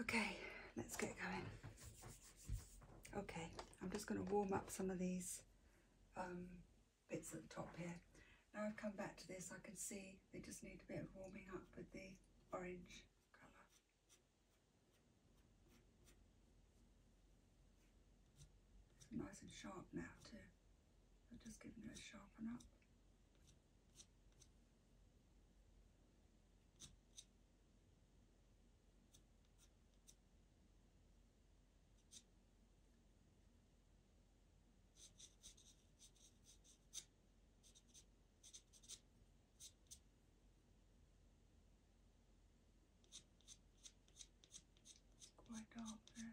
Okay, let's get going. Okay, I'm just going to warm up some of these um, bits at the top here. Now I've come back to this, I can see they just need a bit of warming up with the orange colour. nice and sharp now too. i am just giving it a sharpen up quite often.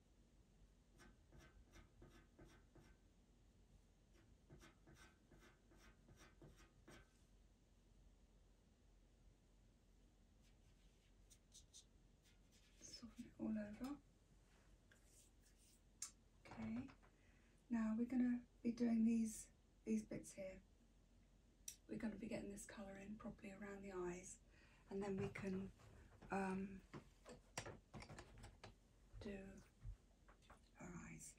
soften it all over. Okay, now we're going to be doing these, these bits here. We're going to be getting this colour in properly around the eyes and then we can um, do her eyes.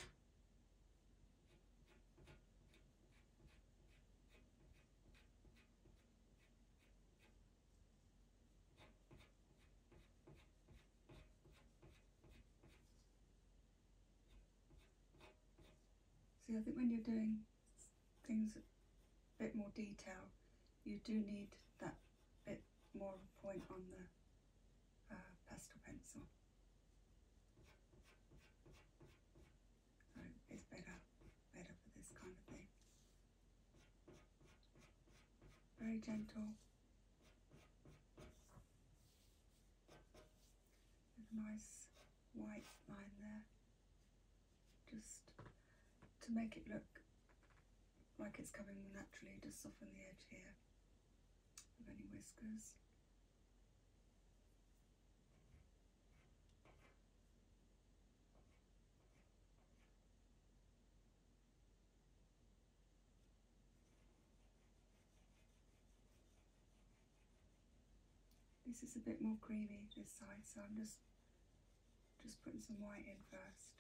See, I think when you're doing things a bit more detail, you do need that bit more point on the uh, pastel pencil. So it's better, better for this kind of thing. Very gentle. nice white line there. Just to make it look like it's coming naturally, to soften the edge here of any whiskers. This is a bit more creamy this side, so I'm just just putting some white in first.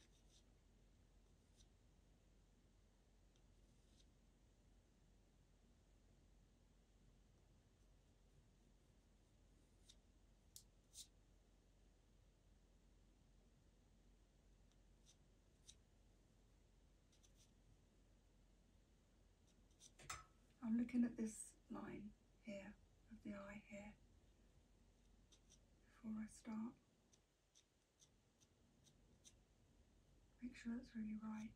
I'm looking at this line here of the eye here before I start. Make sure that's really right.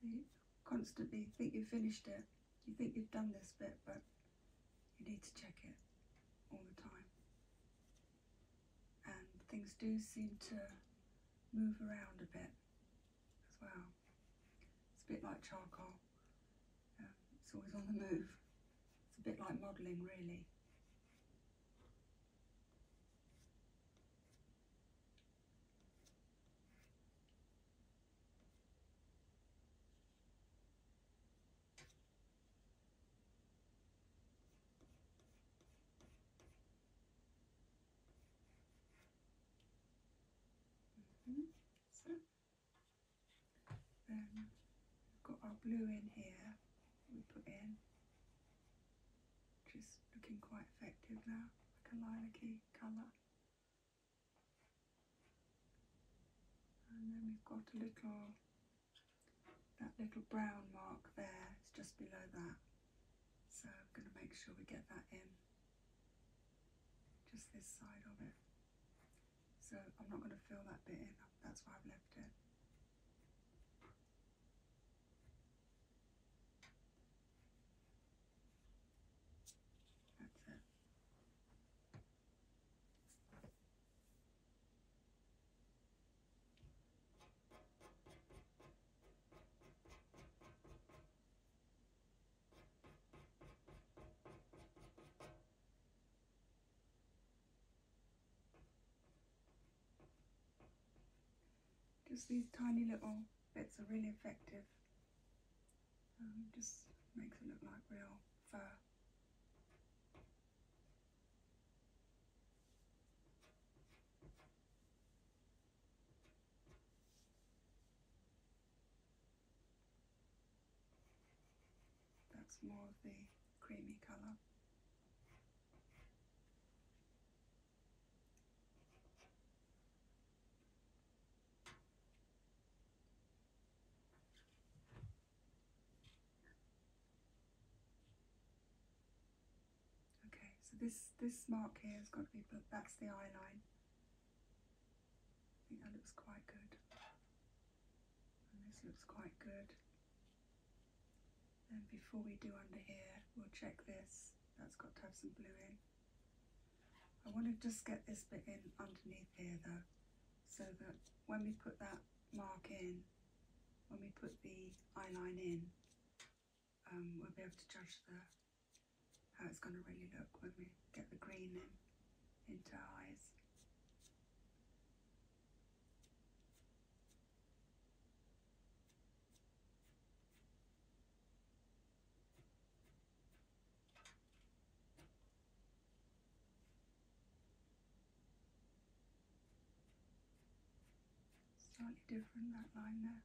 So you constantly think you've finished it, you think you've done this bit, but you need to check it all the time. And things do seem to move around a bit as well. It's a bit like charcoal. Um, it's always on the move. It's a bit like modelling really. -hmm. So, then we've got our blue in here we put in, just looking quite effective now, like a lilac colour. And then we've got a little, that little brown mark there, it's just below that. So I'm going to make sure we get that in just this side of it. So I'm not going to fill that bit in, that's why I've left it. That's it. Just these tiny little bits are really effective. Um, just makes it look like real fur. That's more of a creamy colour. Okay, so this this mark here has got to be put. That's the eye line. I think that looks quite good. this looks quite good. Then before we do under here, we'll check this. That's got to have some blue in. I want to just get this bit in underneath here though, so that when we put that mark in, when we put the eyeline in, um, we'll be able to judge the how it's going to really look when we get the green in into our eyes. Slightly different that line there.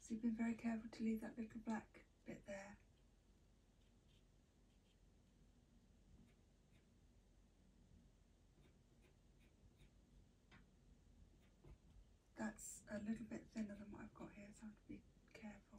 So you've been very careful to leave that little black bit there. That's a little bit thinner than what I've got here, so I have to be careful.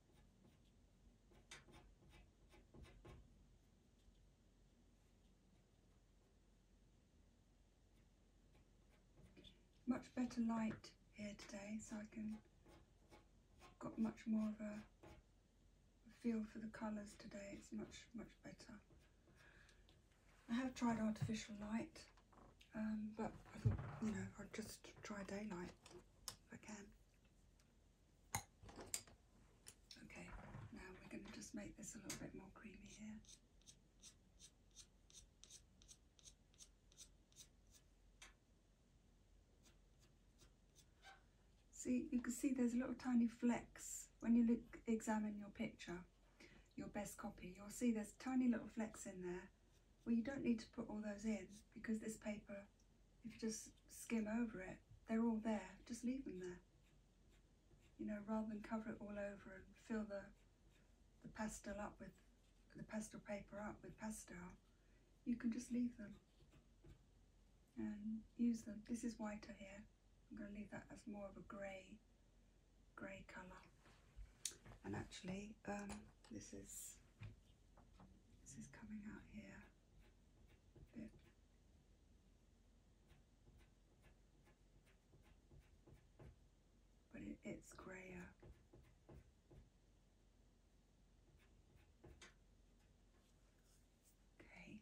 Much better light here today so I can got much more of a feel for the colours today. It's much, much better. I have tried artificial light, um, but I thought, you know, i will just try daylight if I can. Okay, now we're going to just make this a little bit more creamy here. See, you can see there's a little tiny flecks when you look, examine your picture, your best copy. You'll see there's tiny little flecks in there. Well, you don't need to put all those in because this paper if you just skim over it, they're all there. Just leave them there. You know, rather than cover it all over and fill the the pastel up with the pastel paper up with pastel, you can just leave them and use them. This is whiter here. I'm going to leave that as more of a grey, grey colour. And actually, um, this is this is coming out here. But it's grayer. Okay.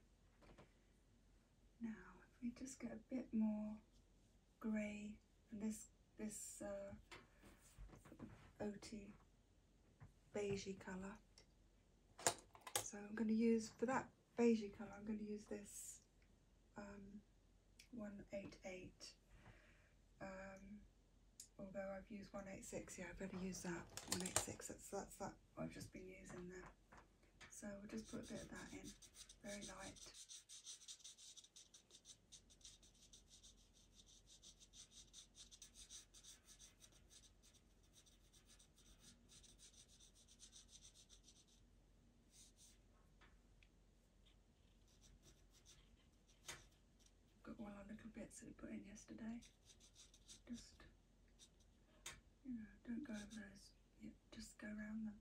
Now, if we just get a bit more grey, and this, this uh, OT beigey colour. So I'm going to use, for that beigey colour, I'm going to use this um, 188. Um, although I've used 186, yeah, I better use that 186. That's, that's that I've just been using there. So we'll just put a bit of that in, very light. Got all our little bits that we put in yesterday. Just, you know, don't go over those. just go around them.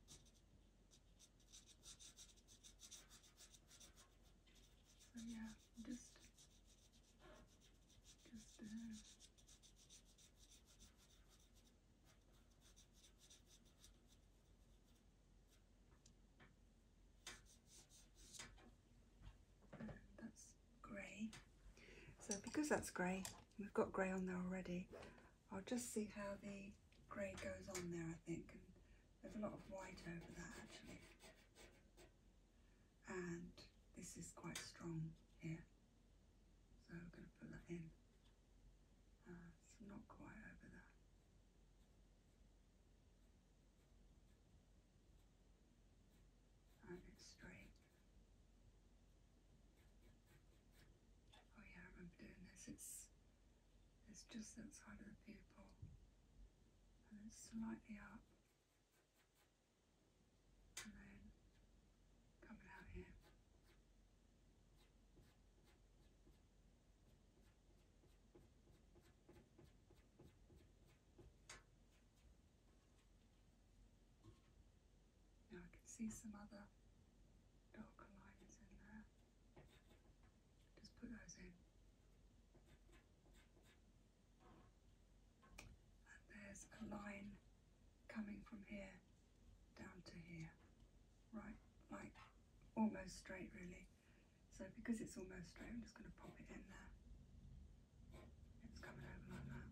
So yeah, just just there. That's grey. So because that's grey, we've got grey on there already, I'll just see how the grey goes on there I think. there's a lot of white over that actually and this is quite strong here so I'm going to put that in uh, it's not quite over there and it's straight oh yeah I remember doing this it's it's just outside of the pupil and it's slightly up coming out here. Now I can see some other darker in there. Just put those in and there's a line coming from here down to here, right, like almost straight really. So because it's almost straight, I'm just going to pop it in there. It's coming over like that.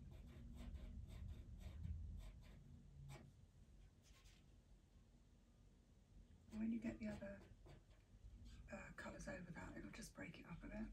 when you get the other uh, colours over that, it'll just break it up a bit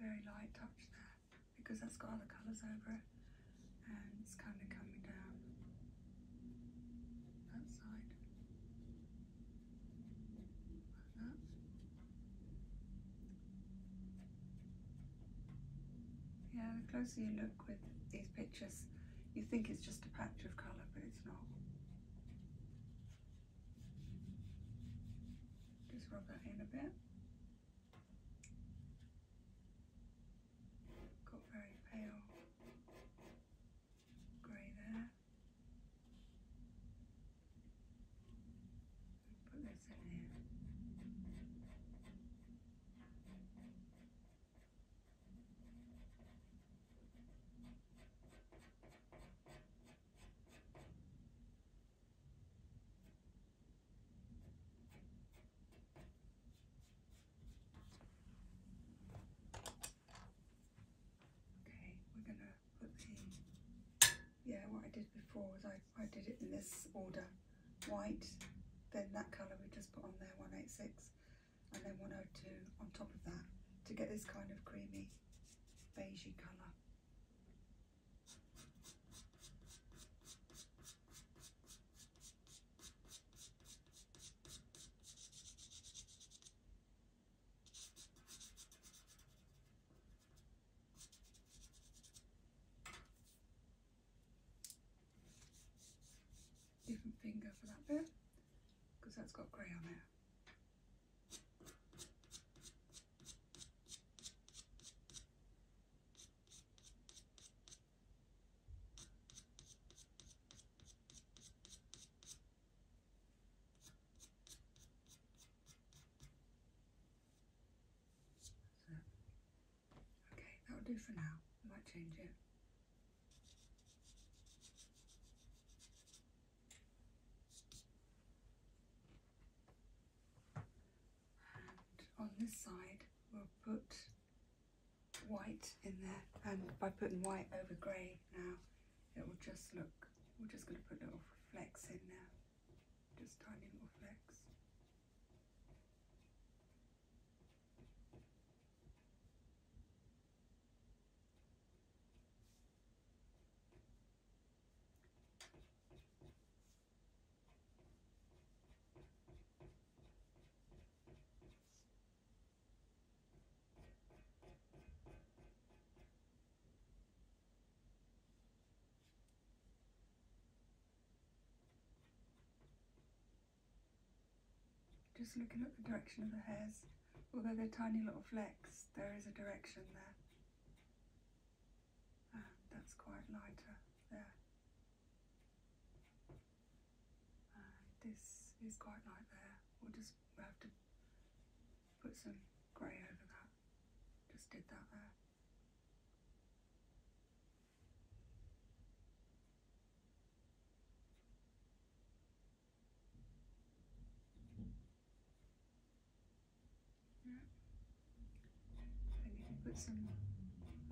very light touch there because that's got other colours over it and it's kind of coming down that side yeah the closer you look with these pictures you think it's just a patch of colour but it's not just rub that in a bit Got very pale grey there. Put this in here. Okay, we're gonna put the, yeah, what I did before was I, I did it in this order, white, then that colour we just put on there, 186, and then 102 on top of that to get this kind of creamy beigey colour. Different finger for that bit because that's got grey on it. Okay, that'll do for now. might change it and on this side we'll put white in there and by putting white over grey now it will just look we're just going to put little flecks in there, just tiny little flecks just looking at the direction of the hairs, although they're tiny little flecks, there is a direction there. And ah, that's quite lighter there. Uh, this is quite light there. We'll just have to put some grey over that. Just did that there. Yeah think you can put some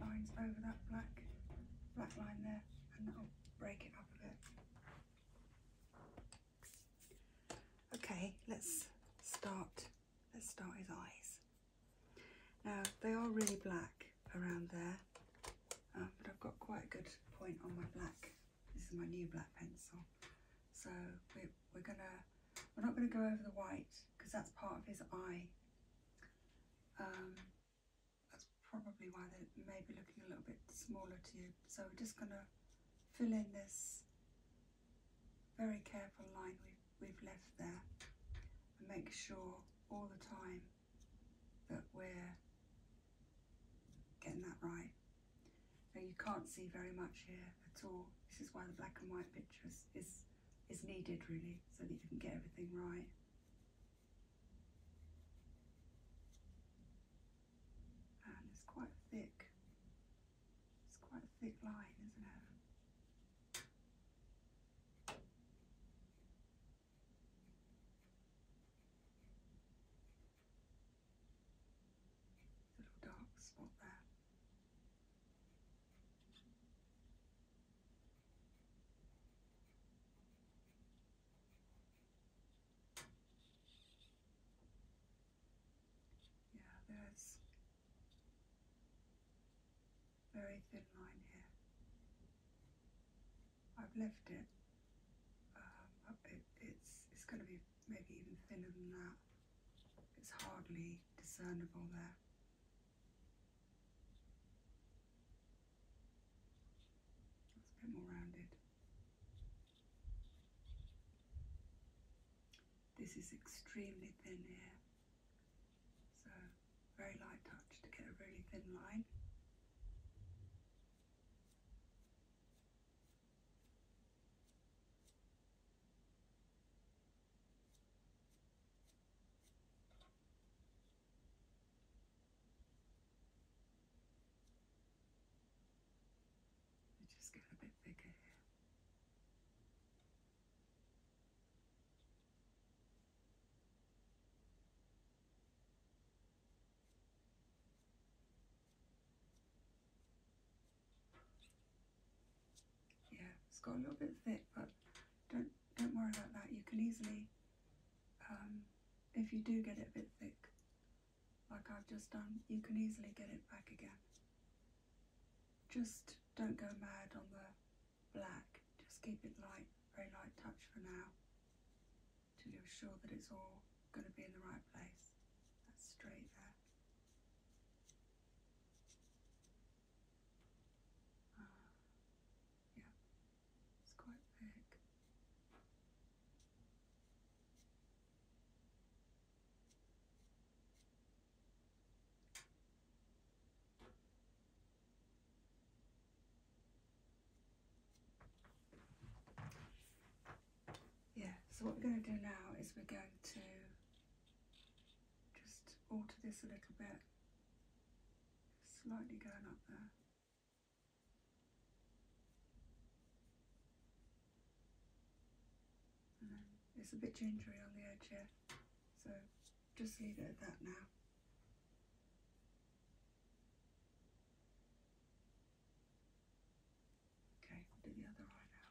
lines over that black, black line there and that'll break it up a bit. Okay, let's start, let's start his eyes. Now they are really black around there, um, but I've got quite a good point on my black. This is my new black pencil. So we're, we're gonna, we're not gonna go over the white because that's part of his eye. Um, that's probably why they may be looking a little bit smaller to you. So we're just going to fill in this very careful line we've, we've left there and make sure all the time that we're getting that right. Now you can't see very much here at all. This is why the black and white pictures is is needed really so that you can get everything right. And it's quite thick. It's quite a thick line, isn't it? little dark spot there. Yeah, there's very thin line here. I've left it. Uh, it it's it's going to be maybe even thinner than that. It's hardly discernible there a bit more rounded. This is extremely thin here, so very light touch to get a really thin line. I just got a bit bigger Yeah, it's got a little bit thick, but don't don't worry about that. You can easily, um, if you do get it a bit thick, like I've just done, you can easily get it back again. Just don't go mad on the black. Just keep it light, very light touch for now, to you're sure that it's all going to be in the right place. That's straight there. Ah. Yeah, it's quite thick. Yeah, so what we're going to do now is we're going to just alter this a little bit slightly going up there. And then it's a bit gingery on the edge here, so just leave it at that now. Okay, do the other eye now.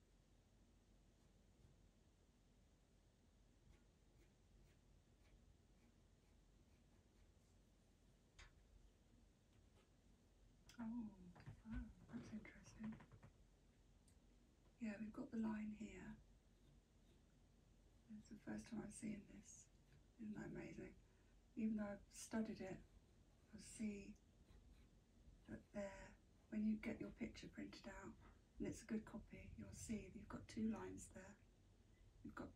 Oh, wow, that's interesting. Yeah, we've got the line here. It's the first time I've seen this. Isn't that amazing? Even though I've studied it, I see Look there, when you get your picture printed out, and it's a good copy, you'll see you've got two lines there. You've got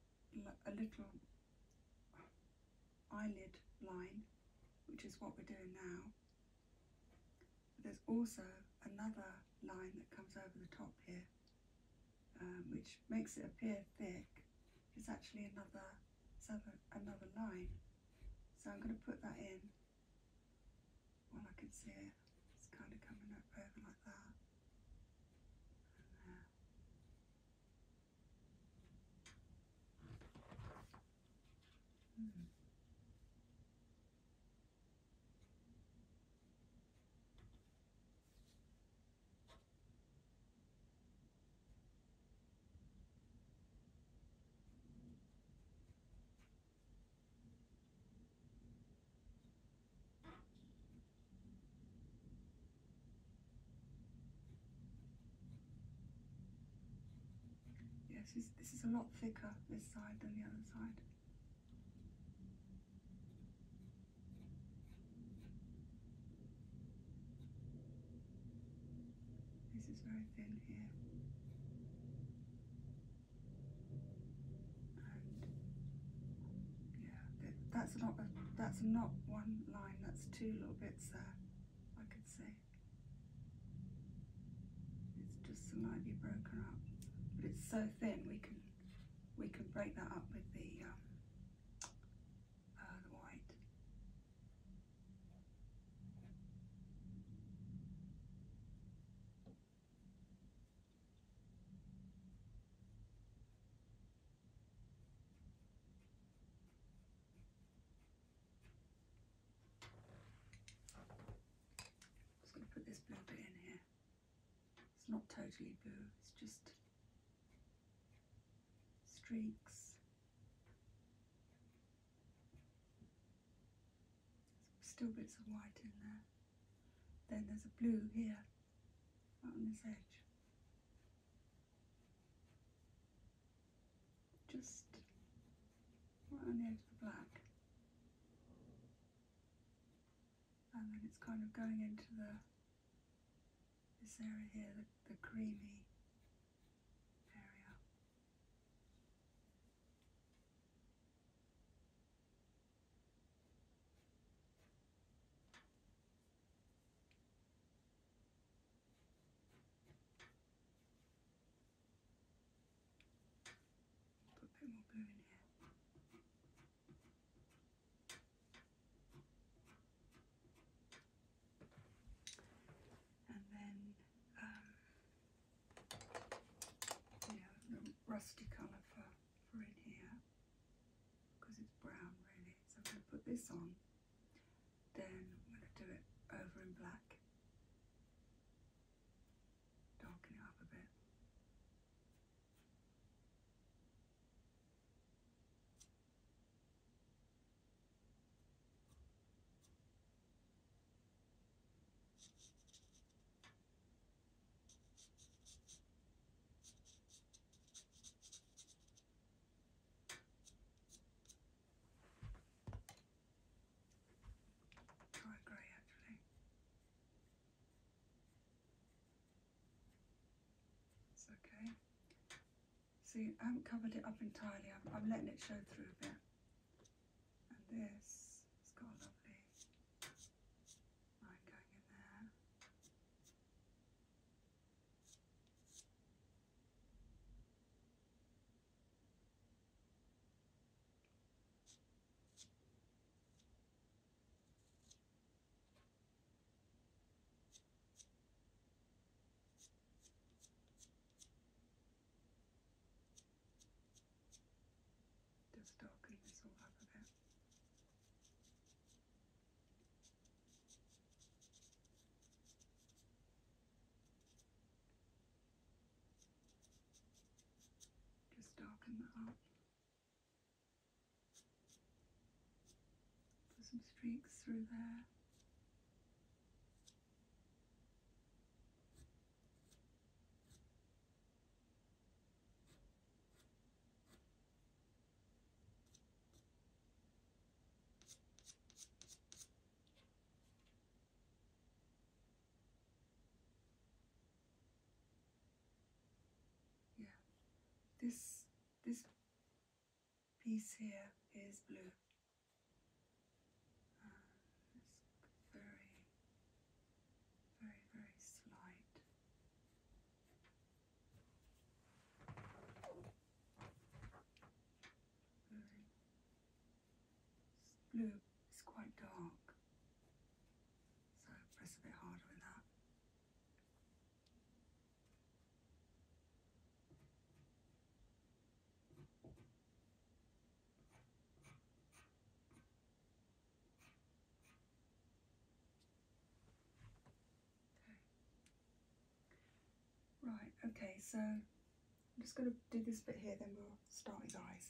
a little eyelid line, which is what we're doing now. there's also another line that comes over the top here, um, which makes it appear thick. It's actually another another line. So I'm going to put that in while I can see It's kind of coming up over like that. Hmm. Yes, this, is a lot thicker, this side, than the other side. This is very thin here. And yeah, that's not a, that's not one line, that's two little bits there, I could see. It's just slightly broken up. But it's so thin we can we can break that up with the um, uh, the white just going to put this blue bit in here. It's not totally blue, it's just streaks Still bits of white in there. Then there's a blue here on this edge. Just on the edge of the black. And then it's kind of going into the this area here, the, the creamy area. Put a bit more blue in here. And then um, you rusty colour for, for in here because it's brown really. So I'm going to put this on, then I'm going to do it over in black, darken it up a bit. Quite grey actually. It's okay. See, I haven't covered it up entirely. I'm, I'm letting it show through a bit. And this has got a lovely line going in there. There's darkness all over there. Just darken that up. Put some streaks through there. Yeah, this this piece here is blue it's very, very, very slight. Very. blue is quite dark, so press a bit harder with that. Right, okay, so I'm just going to do this bit here, then we'll start his eyes.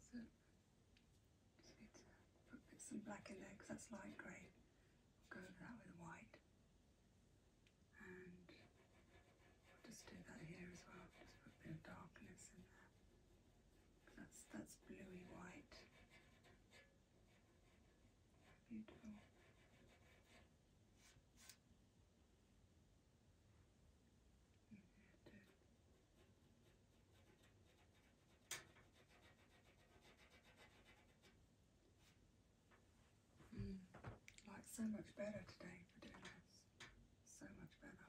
So just put some black in there because that's light gray go over that with white. And just do that here as well. Just put a bit of darkness in there. That's that's bluey white. Beautiful. Mm, like so much better today for doing this. So much better.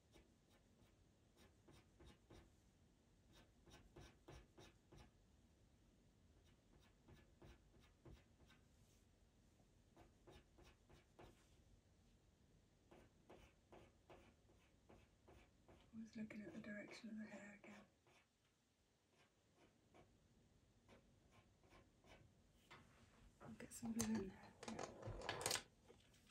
I was looking at the direction of the hair again. get some glue in there.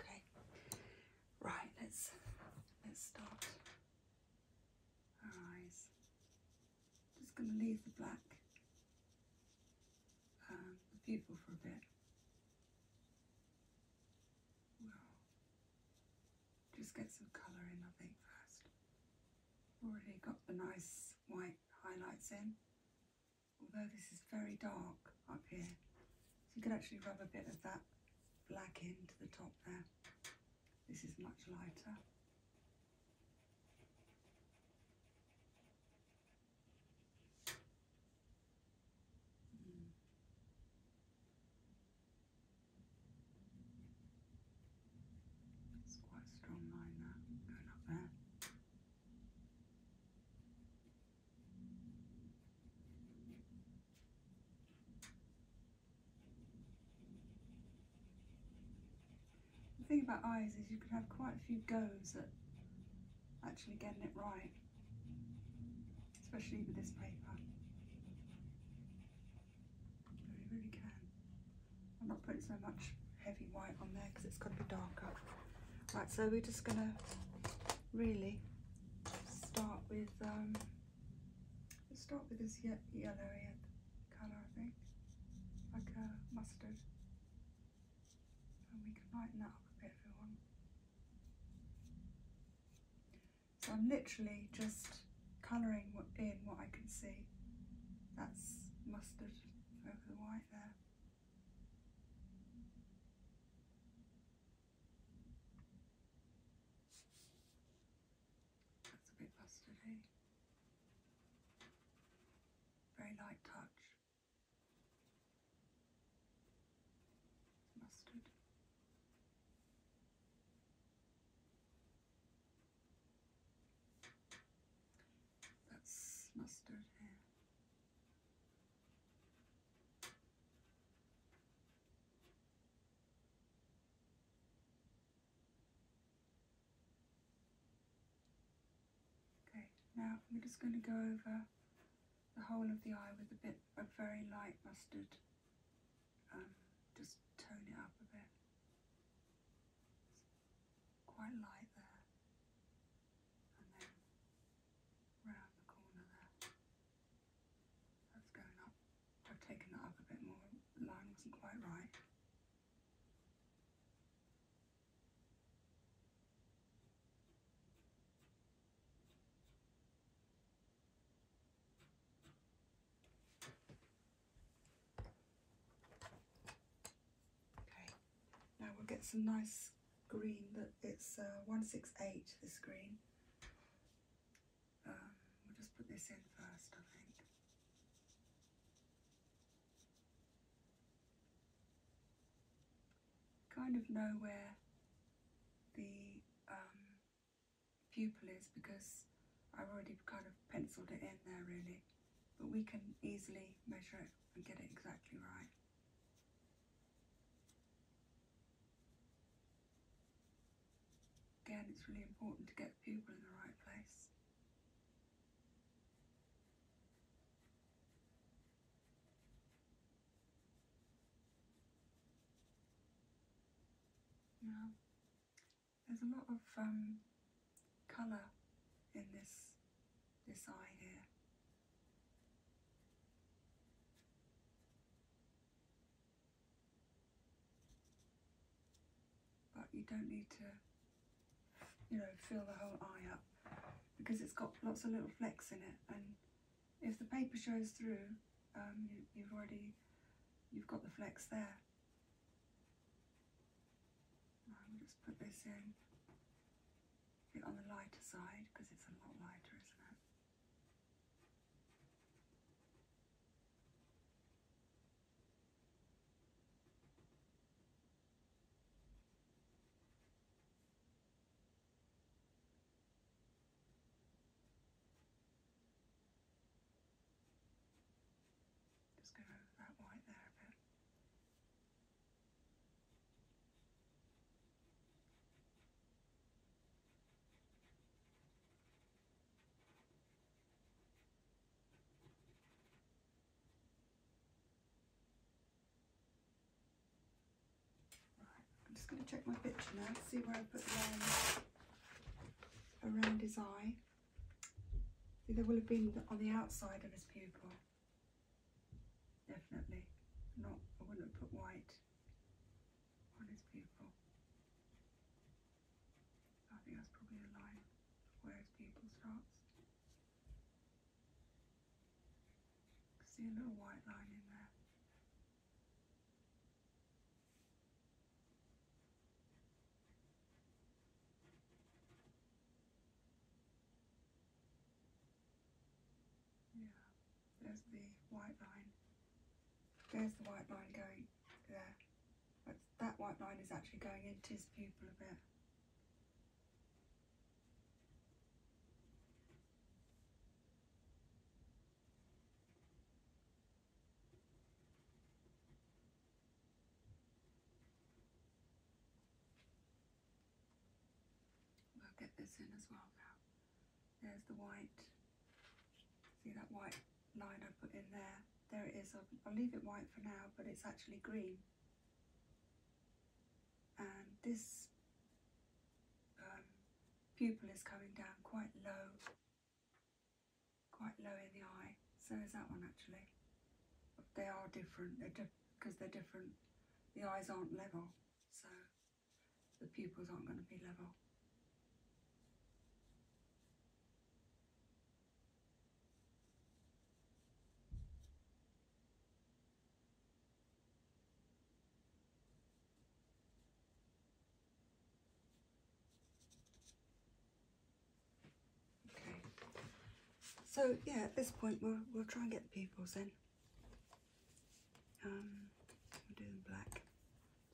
Okay. Right, let's let's start our eyes just going to leave the black and um, the people for a bit. just get some colour in, I think, first. Already got the nice white highlights in, although this is very dark up here. So you could actually rub a bit of that black into the top there. This is much lighter. It's quite a strong line there, going up there. The thing about eyes is you could have quite a few goes at actually getting it right, especially with this paper. You really can. I'm not putting so much heavy white on there because it's got to be darker. Right, so we're just going to really start with um, Let's start with this ye yellowy colour, I think, like a mustard. And we can lighten up a bit if we want. So I'm literally just colouring in what I can see. That's mustard over the white there. That's a bit mustardy. Very light touch. Mustard. That's mustard here. Okay, now we're just going to go over the whole of the eye with a bit of very light mustard. Um, just tone it up a bit. quite light there. And then round the corner there. That's going up. I've taken that up a bit more. line wasn't quite right. Okay, now we'll get some nice green that it's uh, 168 this green um, we'll just put this in first I think kind of know where the um, pupil is because I've already kind of penciled it in there really but we can easily measure it and get it exactly right. Again, it's really important to get people in the right place. Now, there's a lot of um, colour in this, this eye here. But you don't need to, you know, fill the whole eye up because it's got lots of little flex in it. And if the paper shows through, um, you, have already, you've got the flex there. I'll just put this in bit on the lighter side because it's a lot lighter, isn't it? Just go over that white there a bit. I'm just going to check my picture now, see where I put the around his eye. See, there will have been on the outside of his pupil. Definitely. Not, I wouldn't have put white on his pupil. I think that's probably the line where people pupil starts. See a little white line in there. Yeah, there's the white line. There's the white line going there. That's, that white line is actually going into his pupil a bit. We'll get this in as well now. There's the white. See that white line I put in there? There it is. I'll leave it white for now, but it's actually green. And this um, pupil is coming down quite low, quite low in the eye. So is that one actually. they are different, because they're, di they're different. The eyes aren't level, so the pupils aren't going to be level. Okay. So yeah, at this point we'll we'll try and get the pupils in. Um, we'll black,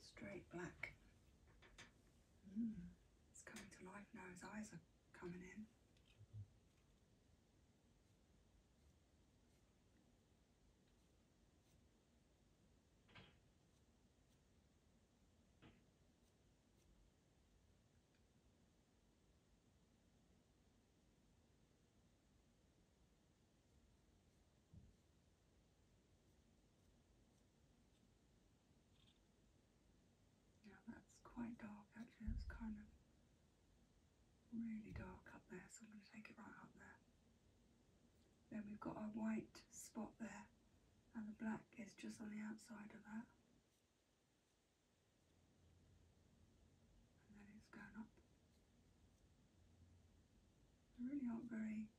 straight black. Hmm, it's coming to life now. His eyes are coming in. Yeah, that's quite dark actually, it's kind of really dark up there, so I'm going to take it right up there. Then we've got a white spot there, and the black is just on the outside of that. And then it's going up. They really aren't very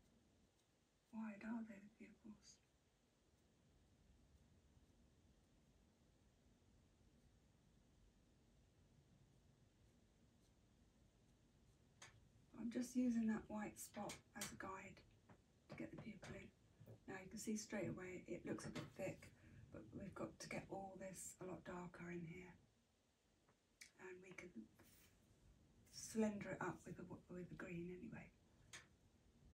wide, are they, the pupils? I'm just using that white spot as a guide to get the pupil in. Now you can see straight away it looks a bit thick, but we've got to get all this a lot darker in here. And we can slender it up with the, with the green anyway.